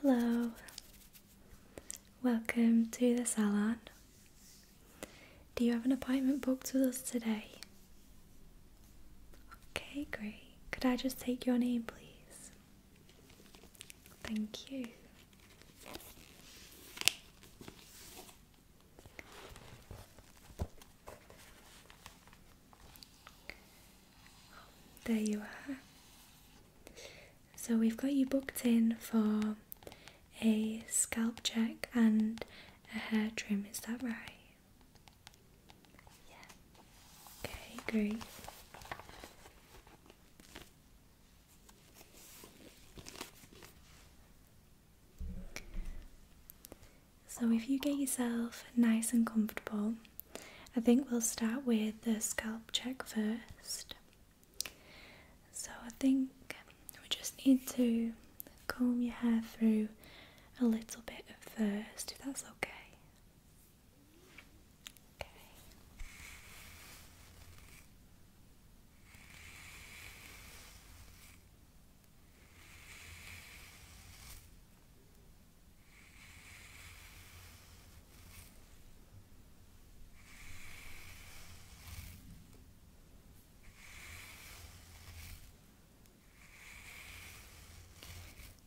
Hello, welcome to the salon. Do you have an appointment booked with us today? Okay, great. Could I just take your name, please? Thank you. There you are. So we've got you booked in for a scalp check and a hair trim, is that right? Yeah. Okay, great. So if you get yourself nice and comfortable, I think we'll start with the scalp check first. So I think we just need to comb your hair through a little bit first, if that's Okay.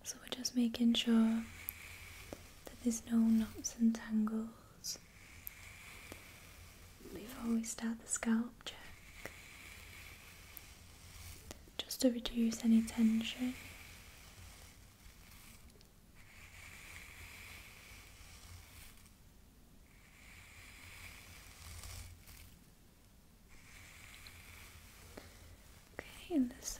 So we're just making sure that there's no knots and tangles before we start the scalp check, just to reduce any tension Okay, in this side.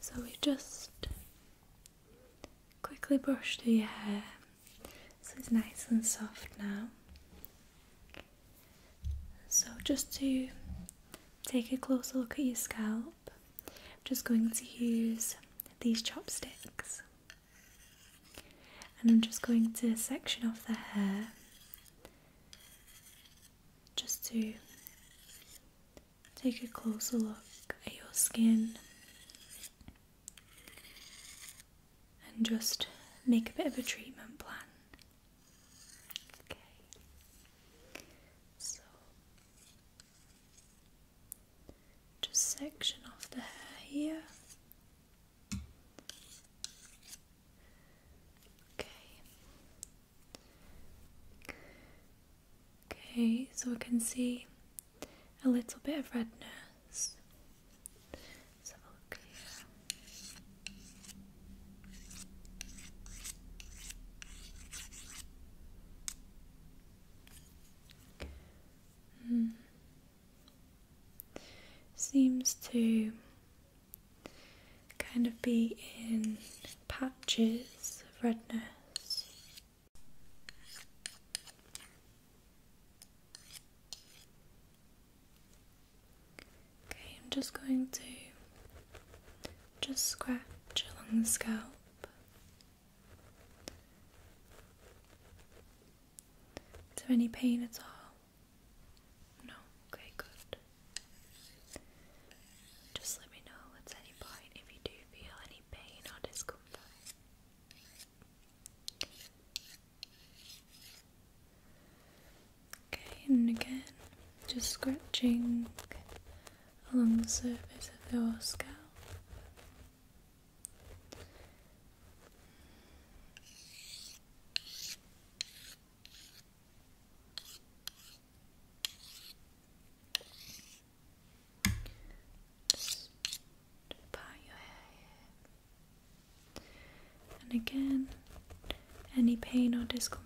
So we just quickly brush through your hair so it's nice and soft now. So just to take a closer look at your scalp, I'm just going to use these chopsticks and I'm just going to section off the hair just to take a closer look at your skin and just make a bit of a treatment plan. Okay, so just section off the hair here. Okay, Okay, so I can see a little bit of redness. let look here. Hmm. Seems to kind of be in patches of redness. Okay, I'm just going to just scratch along the scalp. Is there any pain at all? No, okay, good. Just let me know at any point if you do feel any pain or discomfort. Okay, and again, just scratching along the surface of your scalp part your hair And again, any pain or discomfort?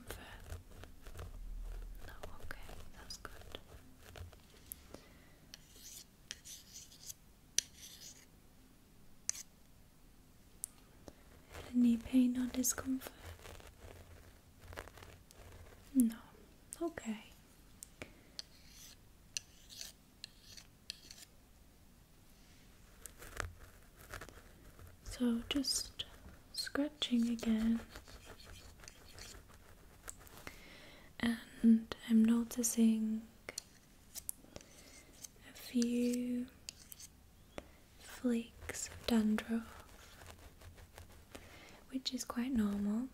No, okay, that's good. Any pain or discomfort? No. Okay. So just scratching again. And I'm noticing a few flakes of dandruff, which is quite normal,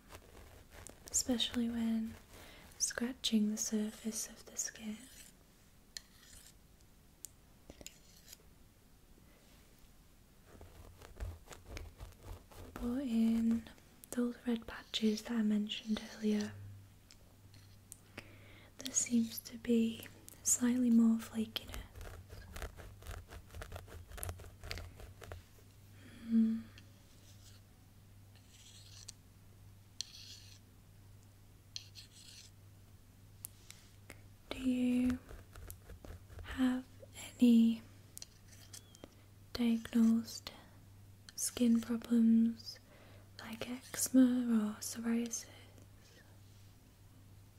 especially when scratching the surface of the skin. But in those red patches that I mentioned earlier, there seems to be slightly more flakiness. Hmm. Do you have any diagnosed skin problems like eczema or psoriasis?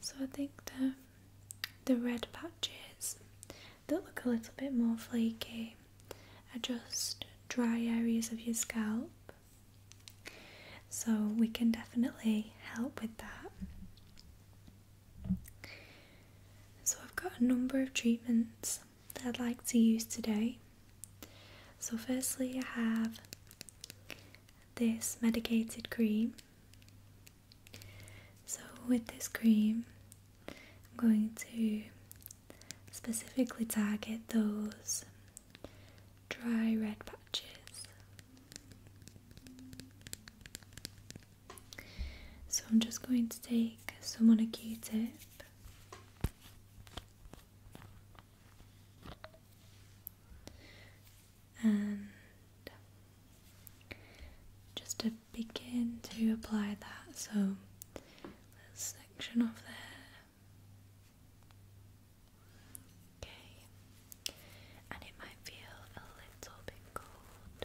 So I think the the red patches that look a little bit more flaky are just dry areas of your scalp. So we can definitely help with that. So, I've got a number of treatments that I'd like to use today. So, firstly, I have this medicated cream. So, with this cream, I'm going to specifically target those dry red patches. So I'm just going to take some on a q-tip and just to begin to apply that, so let section of there. Okay, and it might feel a little bit cold.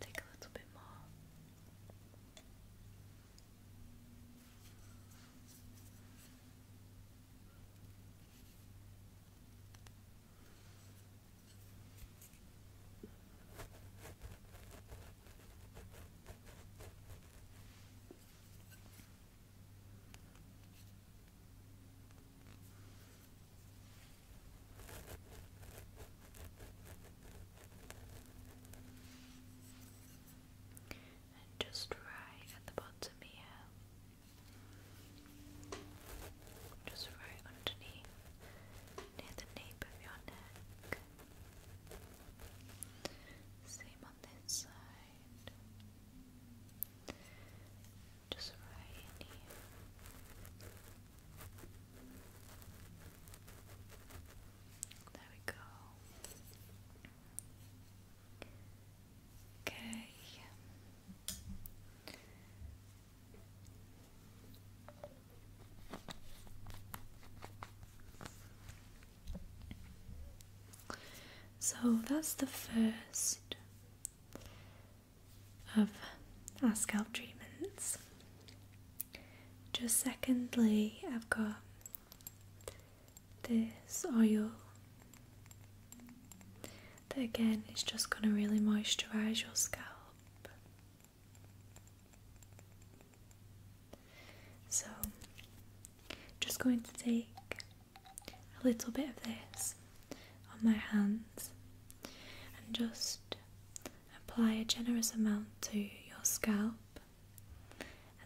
Take a little bit more. And just right at the bottom here just right underneath, near the nape of your neck. Same on this side, just right in here. There we go. Okay. So that's the first of our scalp treatments. Just secondly, I've got this oil that again is just going to really moisturize your scalp. So, just going to take a little bit of this on my hands and just apply a generous amount to your scalp.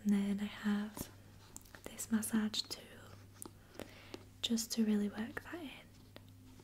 And then I have this massage tool just to really work that in.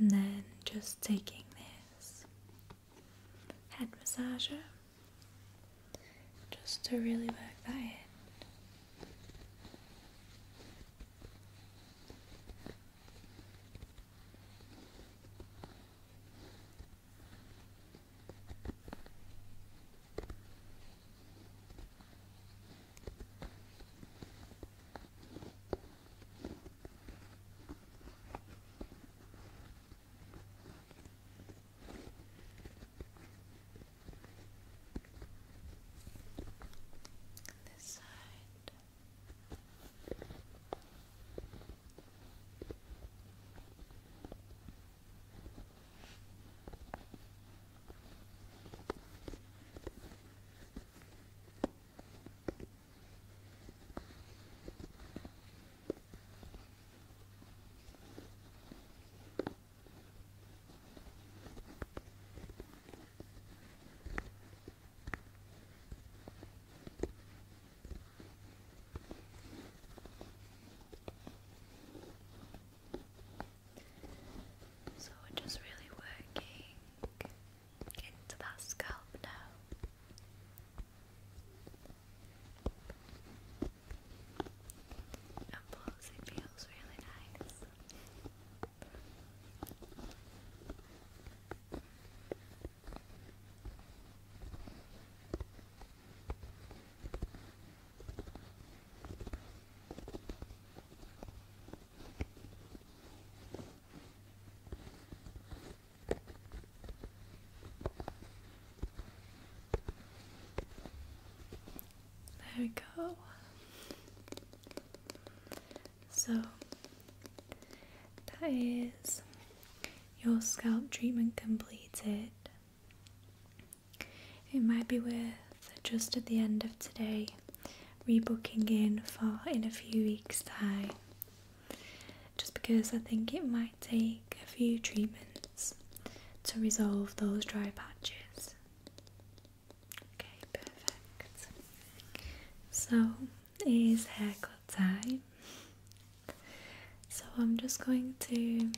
And then just taking this head massage just to really work that in. This side. Good. So we just really working into that scalp now. Apples, it feels really nice. There we go. So that is your scalp treatment completed. It might be worth just at the end of today rebooking in for in a few weeks' time. Just because I think it might take a few treatments to resolve those dry patches. Okay, perfect. So it is haircut time. So I'm just going to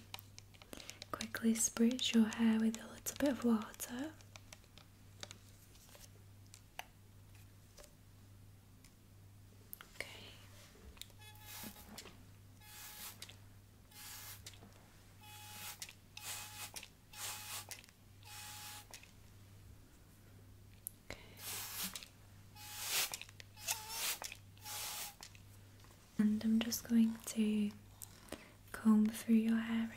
quickly spritz your hair with a little bit of water. Okay. And I'm just going to comb through your hair again.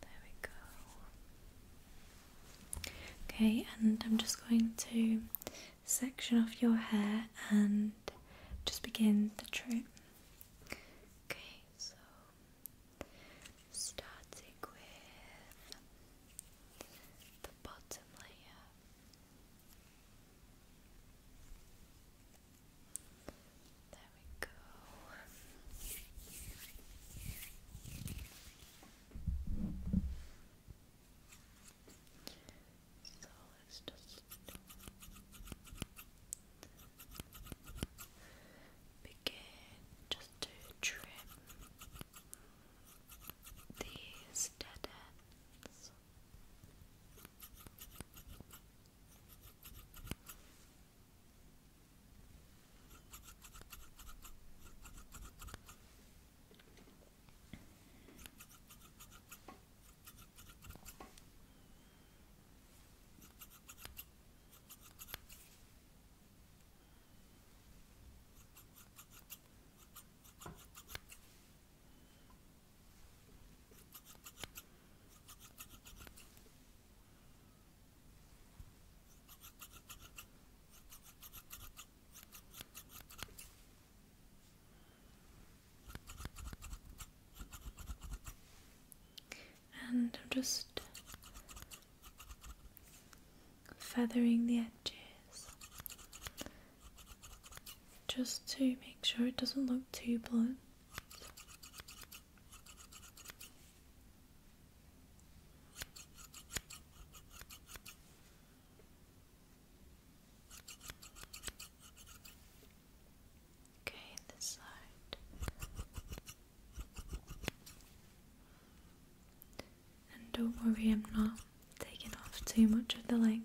There we go. Okay, and I'm just going to section off your hair and just begin the trim. Okay, so starting with the bottom layer. There we go. So let's just begin just to trim these dead ends. And I'm just feathering the edges just to make sure it doesn't look too blunt. Okay, this side. And don't worry, I'm not taking off too much of the length.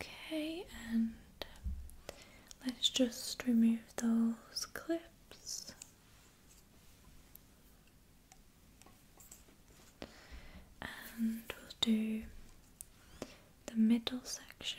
Okay, and um, let's just remove those clips. And we'll do the middle section.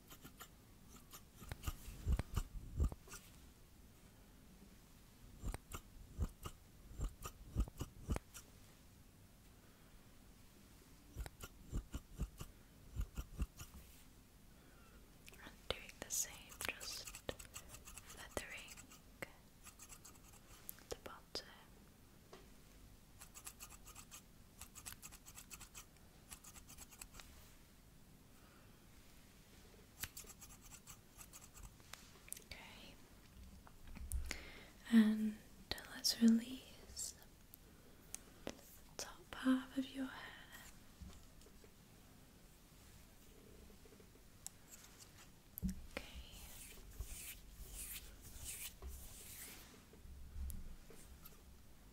And doing the same, just feathering the bottom. Okay. And let's release the top half of your hair. Okay.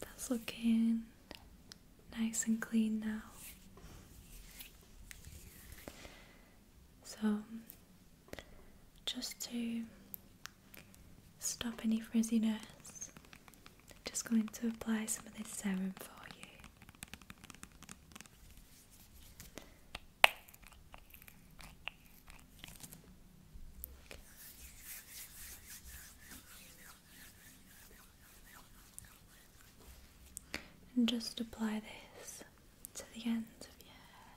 That's looking nice and clean now. So, just to stop any frizziness, I'm just going to apply some of this serum for you. And just apply this to the ends of your hair.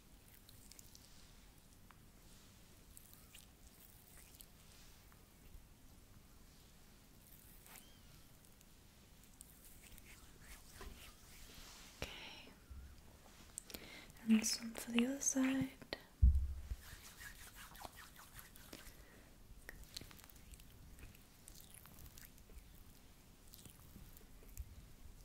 Okay. And some for the other side.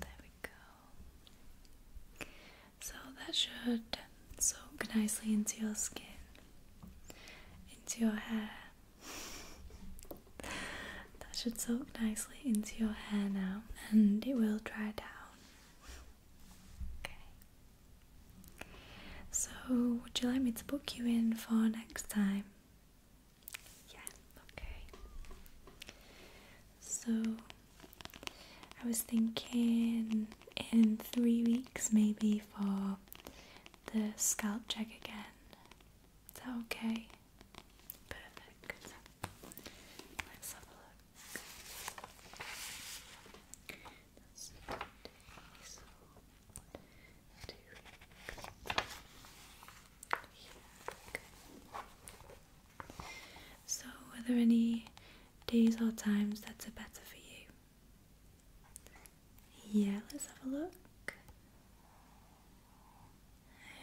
There we go. So that should soak nicely into your skin, into your hair. that should soak nicely into your hair now and it will dry down. Okay. So, would you like me to book you in for next time? Yeah, okay. So I was thinking in three weeks maybe for the scalp check again. Is that okay? Perfect. Let's have a look. So, are there any days or times that are better for you? Yeah, let's have a look.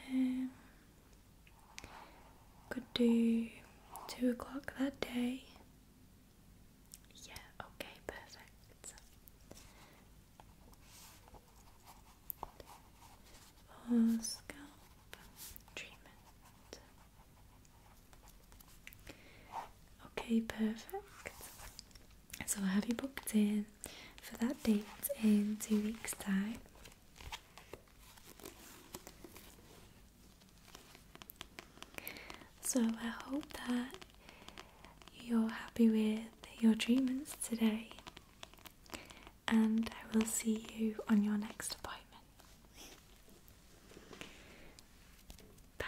Um, could do two o'clock that day. Yeah, okay, perfect for scalp treatment. Okay, perfect. So I have you booked in for that date in two weeks' time. So I hope that you're happy with your treatments today and I will see you on your next appointment. Bye.